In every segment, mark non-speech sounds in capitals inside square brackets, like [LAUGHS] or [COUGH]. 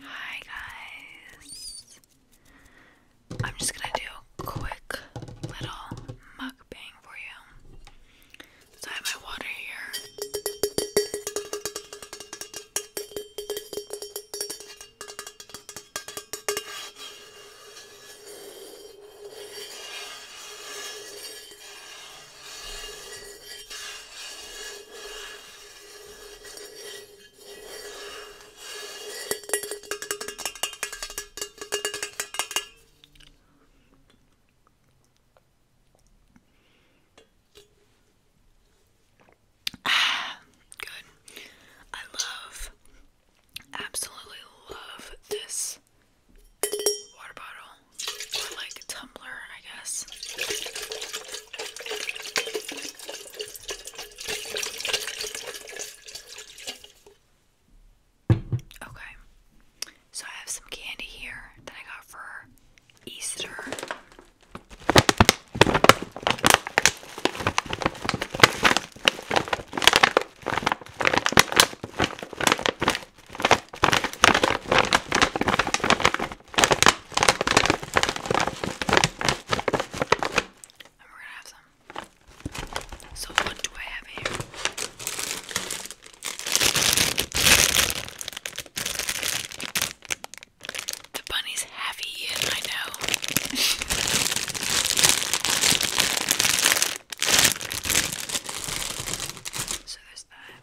Hi guys. I'm just gonna do a quick little mukbang for you. So I have my water here. Ah, good. I love, absolutely love this water bottle like Tumblr, I guess. Okay, so I have some candy here that I got for Easter. So, what do I have here? The bunny's heavy, I know. [LAUGHS] so, there's that.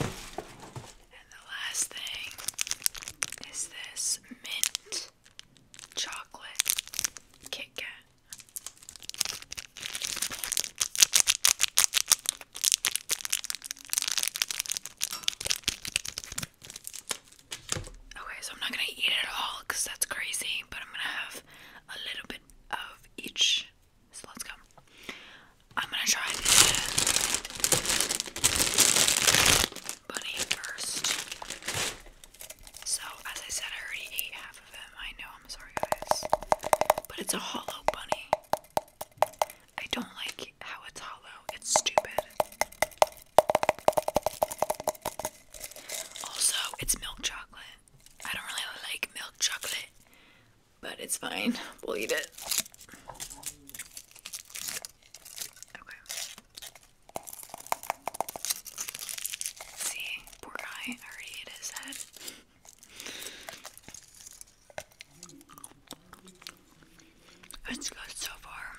And the last thing is this mint chocolate Kit Okay, so I'm not gonna eat it all because that's crazy, but I'm gonna have a little bit of each. So let's go. I'm gonna try this bunny first. So, as I said, I already ate half of them. I know, I'm sorry, guys. But it's a hollow bunny. I don't like how it's hollow, it's stupid. Also, it's milk chocolate. I don't really like milk chocolate. But it's fine. We'll eat it. See, poor guy already hit his head. It's good so far.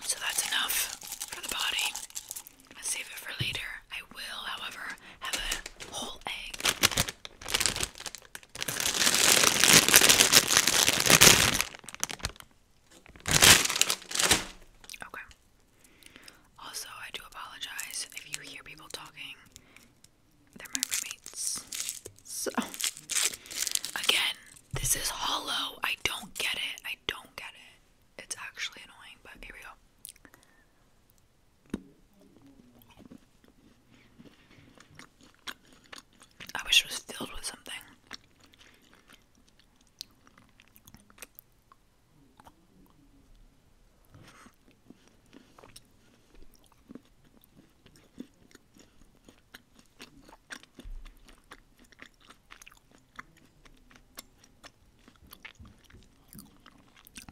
So that's enough for the body. Save it for later. I will, however, have a whole egg. Okay. Also, I do apologize if you hear people talking. They're my roommates. So, again, this is hollow. I don't get it. I don't get it. It's actually annoying, but here we go. I wish it was filled with something.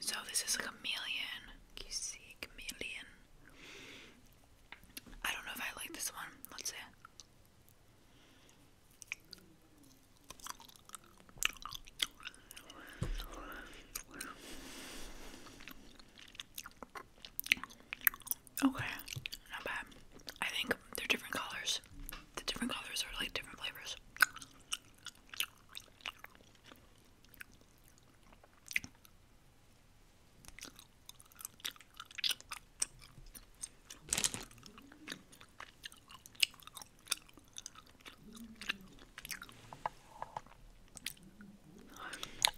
So this is a chameleon. you see chameleon? I don't know if I like this one. Let's see. Okay, not bad. I think they're different colors. The different colors are like different flavors.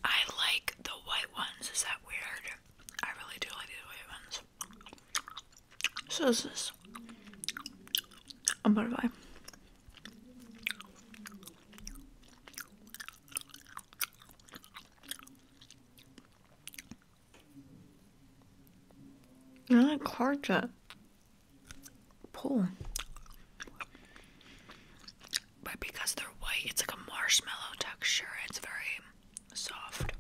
I like the white ones. Is that weird? I really do like the white ones. So is this Söz. Ambar var. Yani karca pull. But because they're white, it's like a marshmallow texture. It's very soft.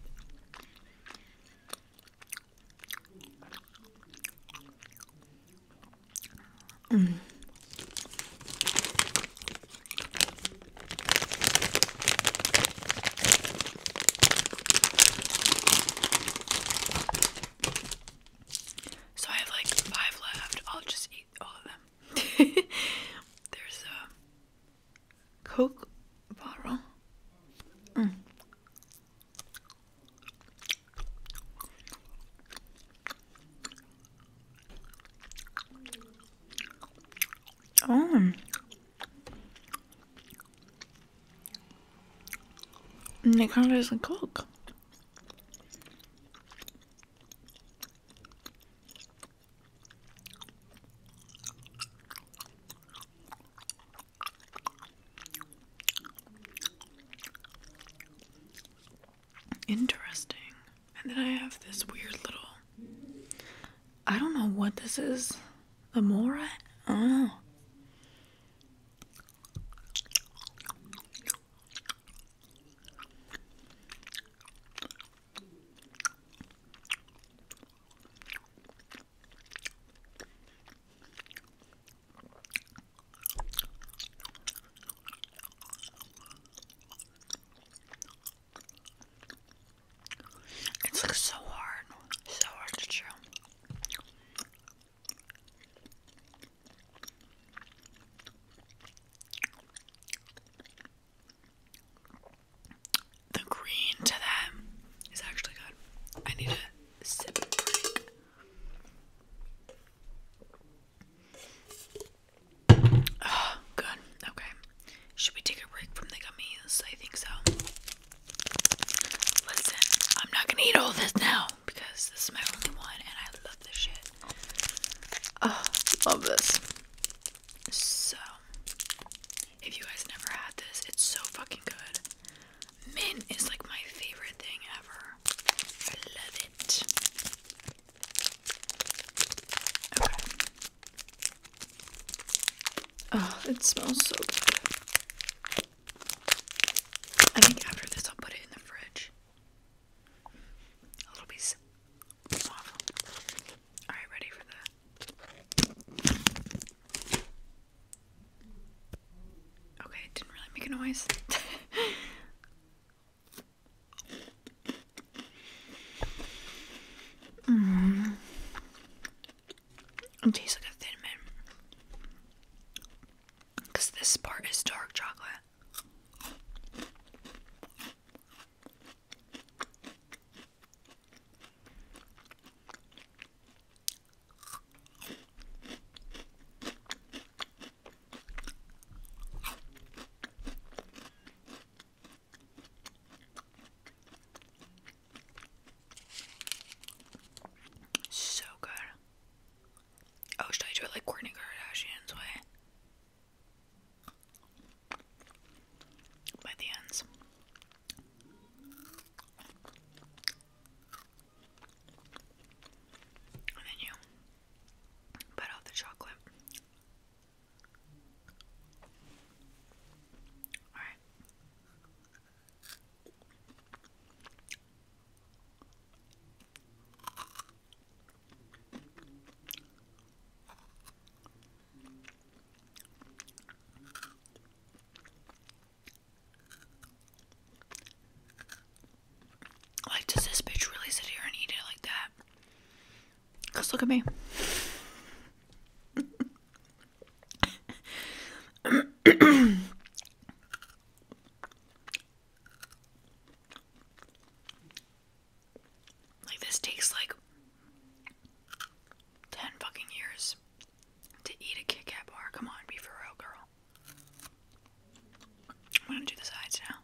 Mm. So I have like five left. I'll just eat all of them. [LAUGHS] There's uh, Coke bottle. Mm. Oh. And it kind of tastes like Coke. Interesting. And then I have this weird little. I don't know what this is. The Mora? Oh. It's like so hard, so hard to chew. The green to that is actually good. I need a sip Oh, good. Okay. Should we take a break from the gummies? I think so. Listen, I'm not gonna eat all this now because this is my only one and I love this shit. Oh, love this. So, if you guys never had this, it's so fucking good. Mint is like my favorite thing ever. I love it. Oh, it smells so good. I think after this, I'll put it in the fridge. A little piece waffle. Alright, ready for the. Okay, didn't really make a noise. [LAUGHS] Mm-hmm. It tastes like a thin mint. Because this part is dark chocolate. So good. Oh, should I do it like Kourtney Kardashian's way? by the ends. And then you put out the chocolate. Alright. Like, does this bitch really sit here and eat it like that? Because look at me. Like this takes like ten fucking years to eat a Kit Kat bar. Come on, be for real, girl. I'm gonna do the sides now.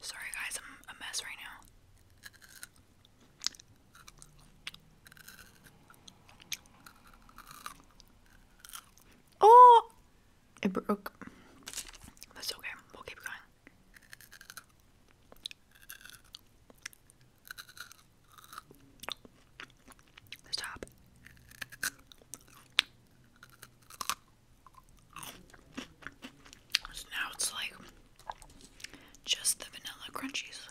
Sorry guys, I'm a mess right now. Oh! It broke. That's okay. We'll keep going. Stop. So now it's like just the vanilla crunchies.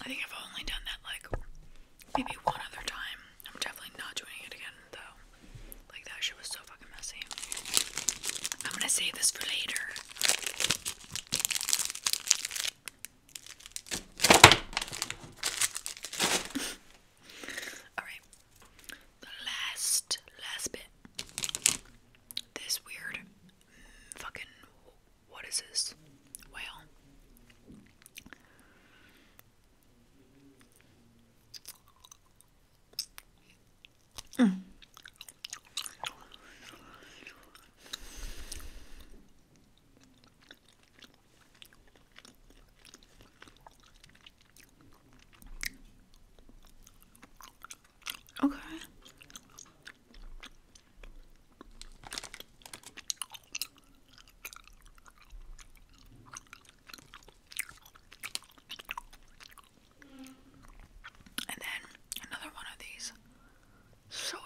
I think I've only done that like maybe one other time. I'm definitely not doing it again though. Like that shit was so fucking messy. I'm gonna save this for later. Alright. The last, last bit. This weird fucking. What is this? Whale. Well, Okay. And then another one of these soda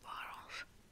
bottles.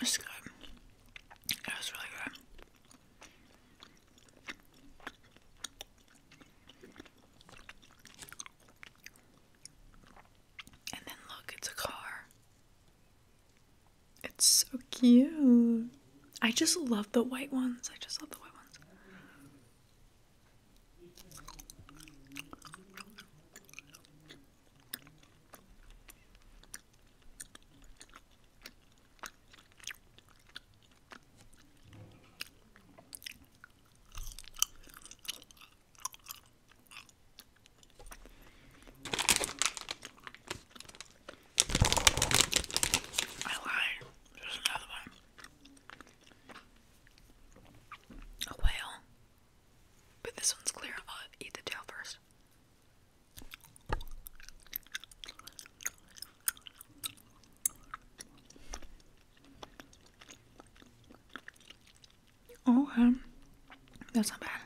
It's good. Yeah, it's really good. And then look, it's a car. It's so cute. I just love the white ones. I just love the white ones. I lied. There's another one. A whale. But this one's clear. I'll eat the tail first. Oh, That's not bad.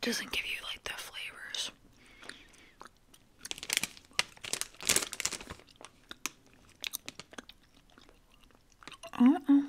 Doesn't give you like the flavors. Uh-uh.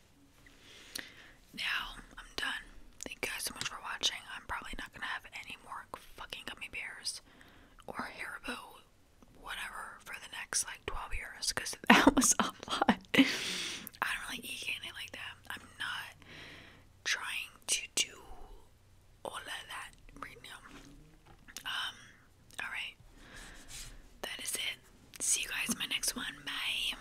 Now I'm done. Thank you guys so much for watching. I'm probably not gonna have any more fucking gummy bears or Haribo, whatever, for the next like 12 years because [LAUGHS] that was a lot. I don't really eat candy like that. I'm not trying to do all of that right now. Um, all right, that is it. See you guys in my next one. Bye.